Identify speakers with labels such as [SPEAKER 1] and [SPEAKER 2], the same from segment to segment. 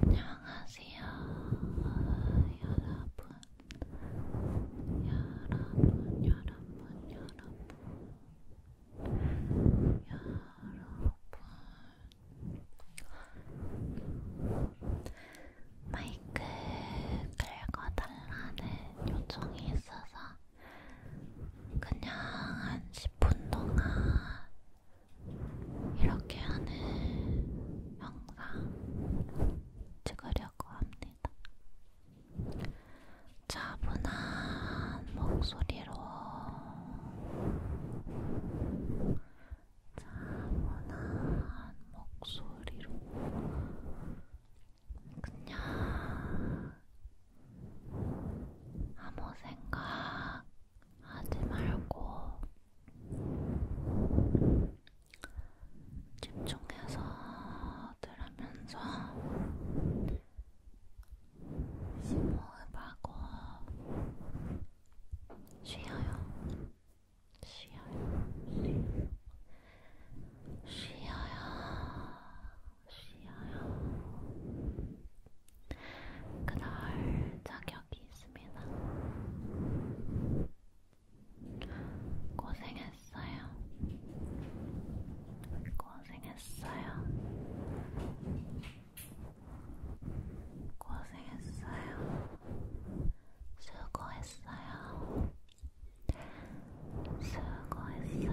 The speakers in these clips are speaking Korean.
[SPEAKER 1] 안녕하세요, 여러분. 여러분, 여러분, 여러분. 여러분. 마이크 긁어달라는 요청이 있어서 그냥 한 10분 동안 이렇게 하는 영상 찍으려고 합니다.
[SPEAKER 2] 차분한 목소리로 차분한 목소리로 그냥 아무 생각 하지 말고 집중해서 들으면서 심호흡하고 쉬어요. 쉬어요. 쉬어요. 쉬어요. 쉬어요. 그럴 자격이 있습니다. 고생했어요. 고생했어요. 고생했어요. 수고했어요. 수고했어요.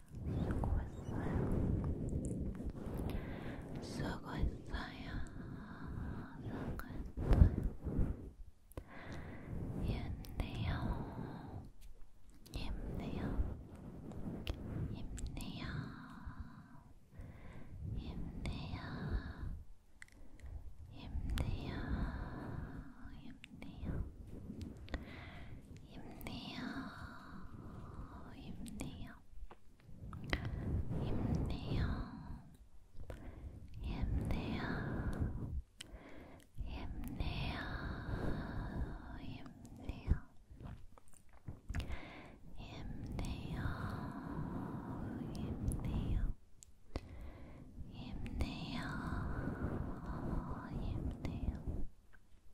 [SPEAKER 2] 수고했어요. 수고했어요. 수고했어요. 힘내요. 힘내요. 힘내요. 힘내요. 힘내요. 힘내요. 힘내요. 힘내요. 힘내요. 힘내요. 힘내요. 힘내요. 힘내요. 힘내요. 힘내요. 힘내요.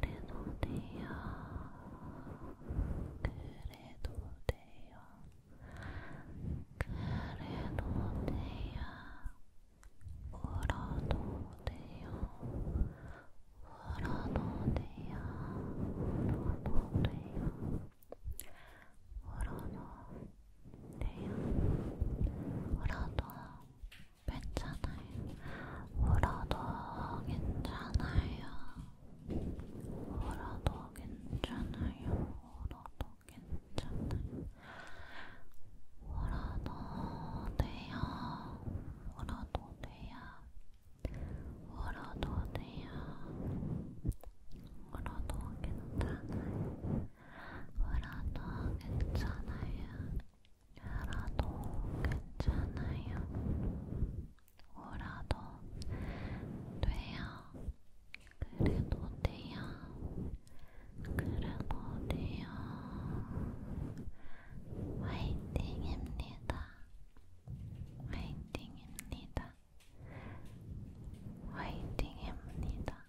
[SPEAKER 2] 그래도돼요. 그래도 돼요. 그래도 돼요. 그래도 돼요. 울어도 돼요. 울어도 돼요. 울어도 돼요. 울어도 돼요. 울어도 괜찮아요. 울어도 괜찮아요. 울어도 괜찮아요. 울어도 괜찮아요. 울어도 돼요. 울어도 돼요. 울어도 돼요. 울어도 괜찮아요. 울어도 괜찮아요. 울어도 괜찮아요. 울어도 돼요. 그래도 돼요. 그래도 돼요. 화이팅입니다. 화이팅입니다. 화이팅입니다.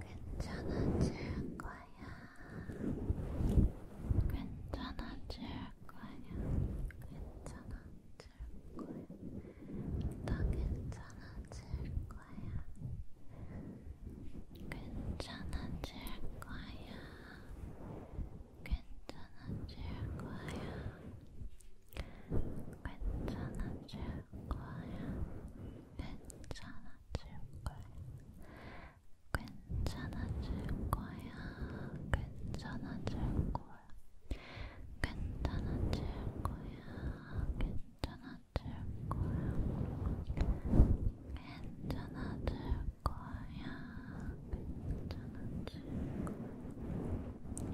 [SPEAKER 2] 괜찮아질 거야. 괜찮아질 거야. 괜찮아질 거야. 다 괜찮아질 거야. 괜찮아질 거야. 괜찮아질 거야. 괜찮아질 거야. 괜찮아질 거야. 괜찮아질 거야. 괜찮아질 거야. 괜찮아질 거야. 괜찮아질 거야. 괜찮아질 거야. 괜찮아질 거야. 괜찮아질 거야.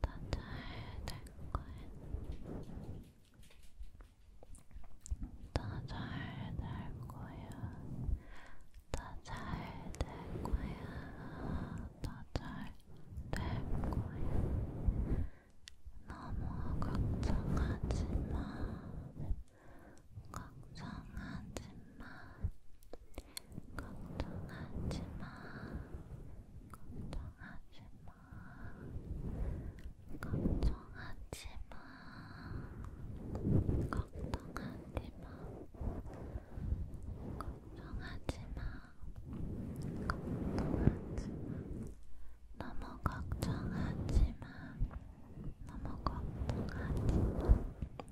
[SPEAKER 1] 다잘될 거야. 다잘 될 거야. 다잘 될 거야. 다잘 될 거야. 너무 걱정하지 마. 걱정하지 마. 걱정하지 마. 걱정하지 마. 걱정하지 마. 걱정하지 마. 걱정하지 마. 걱정하지 마. 너무 걱정하지 마. 너무 걱정하지 마.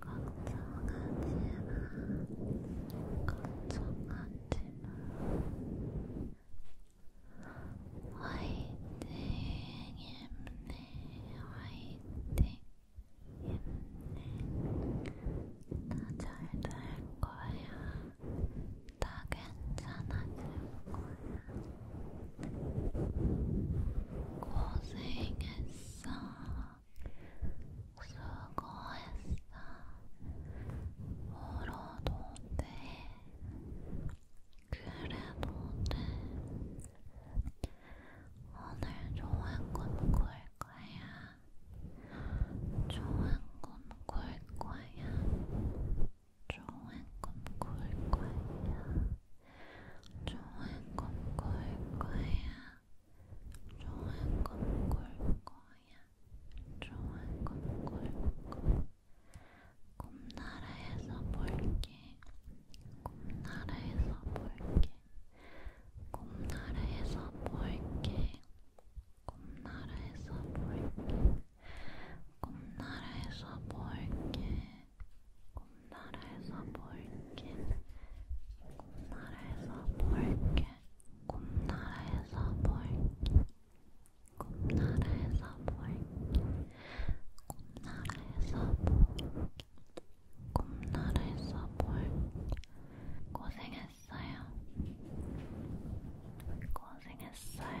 [SPEAKER 1] 걱정하지마 걱정하지마 화이팅
[SPEAKER 2] 힘내 화이팅 힘내 다잘 될 거야 다 괜찮아질 거야 고생했어 수고했어. 울어도 돼. 그래도 돼. 오늘 좋은 꿈꿀 거야. 좋은 꿈꿀 거야. 좋은 꿈꿀 거야. 좋은 꿈꿀 거야. 좋은 꿈꿀 거야. 좋은 꿈꿀 거야. 꿈나라에서 볼게. 꿈나라에서 볼게. 꿈나라에서 볼게. 꿈나라에서 볼게. 꿈나라에서 볼게. 꿈나라에서 볼게 꿈나라에서 볼게 꿈나라에서 볼게 꿈나라에서 볼게 꿈나라에서 볼게 꿈나라에서 볼게 고생했어요 고생했어요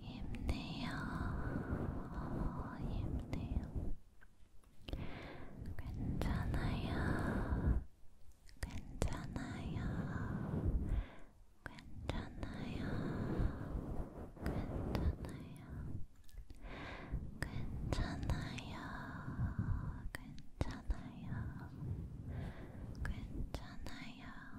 [SPEAKER 2] 힘내요. 힘내요. 괜찮아요. 괜찮아요. 괜찮아요. 괜찮아요. 괜찮아요. 괜찮아요. 괜찮아요.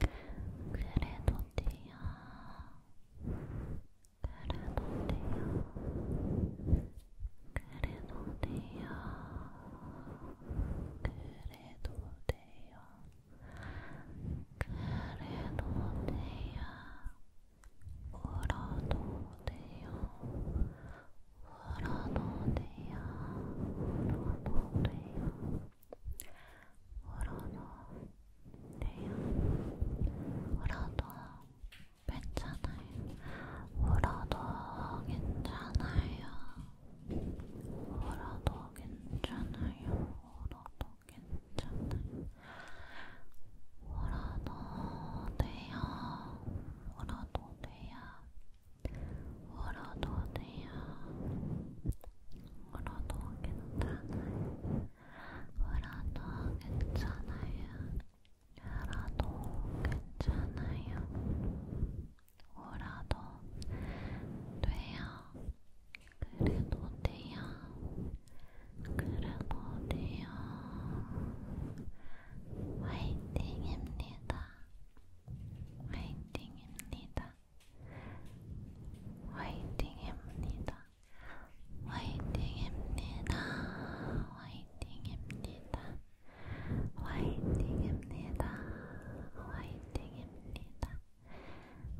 [SPEAKER 2] 그래도 돼요. 그래도 돼요. 그래도 돼요. 그래도 돼요. 그래도 돼요. 울어도 돼요. 울어도 돼요. 울어도 돼요. 울어도 돼요. 울어도 괜찮아요. 울어도 괜찮아요. 울어도 괜찮아요. 울어도 괜찮아요. 울어도 돼요. 울어도 돼요. 울어도 돼요. 울어도 괜찮아요. 울어도 괜찮아요. 울어도 괜찮아요. 울어도 돼요. 그래도 돼요. 그래도 돼요. 화이팅입니다. 화이팅입니다. 화이팅입니다. 화이팅입니다. 화이팅입니다. 화이팅입니다. 화이팅입니다. 화이팅입니다.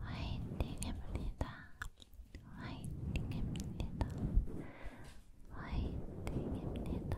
[SPEAKER 2] 화이팅입니다. 화이팅입니다.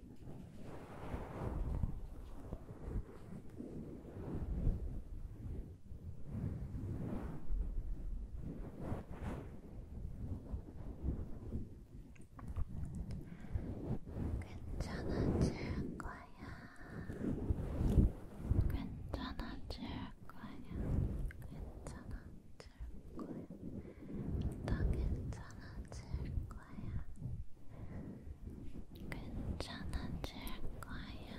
[SPEAKER 2] 괜찮아질
[SPEAKER 1] 거야. 괜찮아질 거야. 괜찮아질 거야. 더 괜찮아질 거야. 괜찮아질 거야.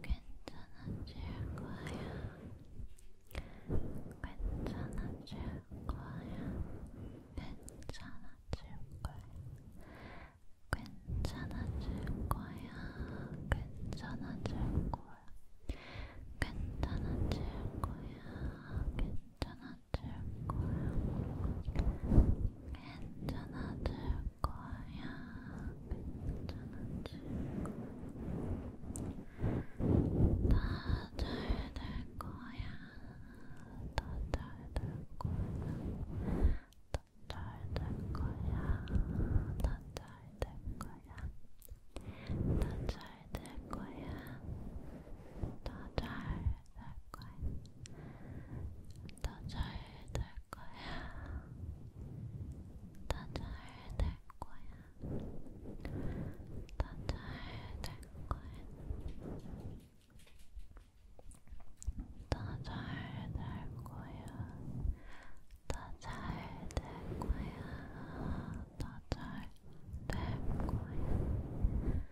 [SPEAKER 1] 괜찮아질 거야. 괜찮아질 거야. 괜찮아질 거야. 괜찮아질 거야. 괜찮아질 거야. 괜찮아질 거야. 괜찮아질 줄 거야. 괜찮아 줄 거야. 괜찮아 줄 거야. 다잘될 거야. 다잘될 거야. 다잘될 거야. 다잘될 거야. 다잘될 거야. 다잘될 잘 거야. 더잘될 거야. 더잘될 거야. 더잘될 거야. 더잘될 거야. 더잘될 거야. 더잘될 거야.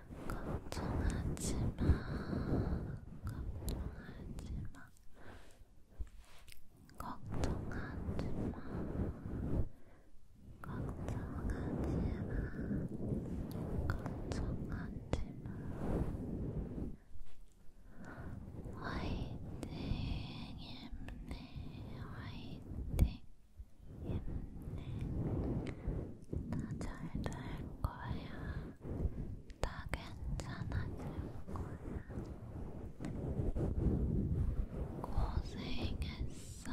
[SPEAKER 1] 걱정하지 마. 걱정하지 마. 걱정하지 마. 걱정하지 마. 걱정하지 마.
[SPEAKER 2] 화이팅 힘내 화이팅 힘내 나잘될 거야. 나 괜찮아질 거야. 고생했어.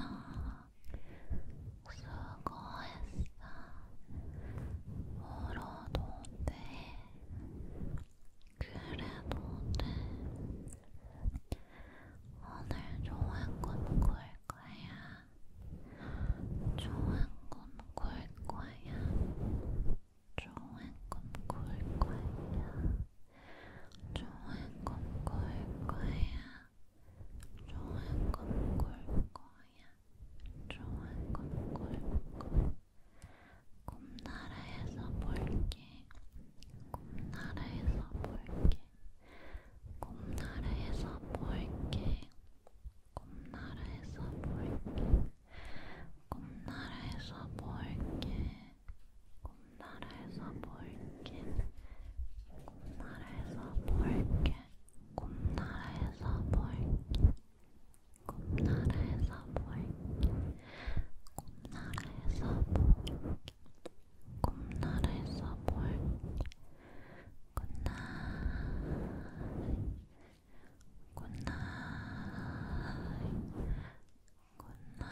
[SPEAKER 2] 수고했어. 울어도 돼. 그래도 돼. 오늘 좋은 꿈꿀 거야. 좋은 꿈꿀 거야. 좋은 꿈꿀 거야. 좋은 꿈꿀 거야. 좋은 꿈꿀 거야. 좋은 꿈꿀 거야. 꿈나라에서 볼게. 꿈나라에서 볼게. 꿈나라에서 볼게. 꿈나라에서 볼게. 꿈나라에서 볼게. 꿈나라에서 볼게. 꿈나라에서 볼게. 꿈나라에서 볼게. 꿈나라에서 볼게. 꿈나라에서 볼게. 꿈나라에서 볼게. 꿈나라에서 볼게. 굿나잇 굿나잇 굿나잇 굿나잇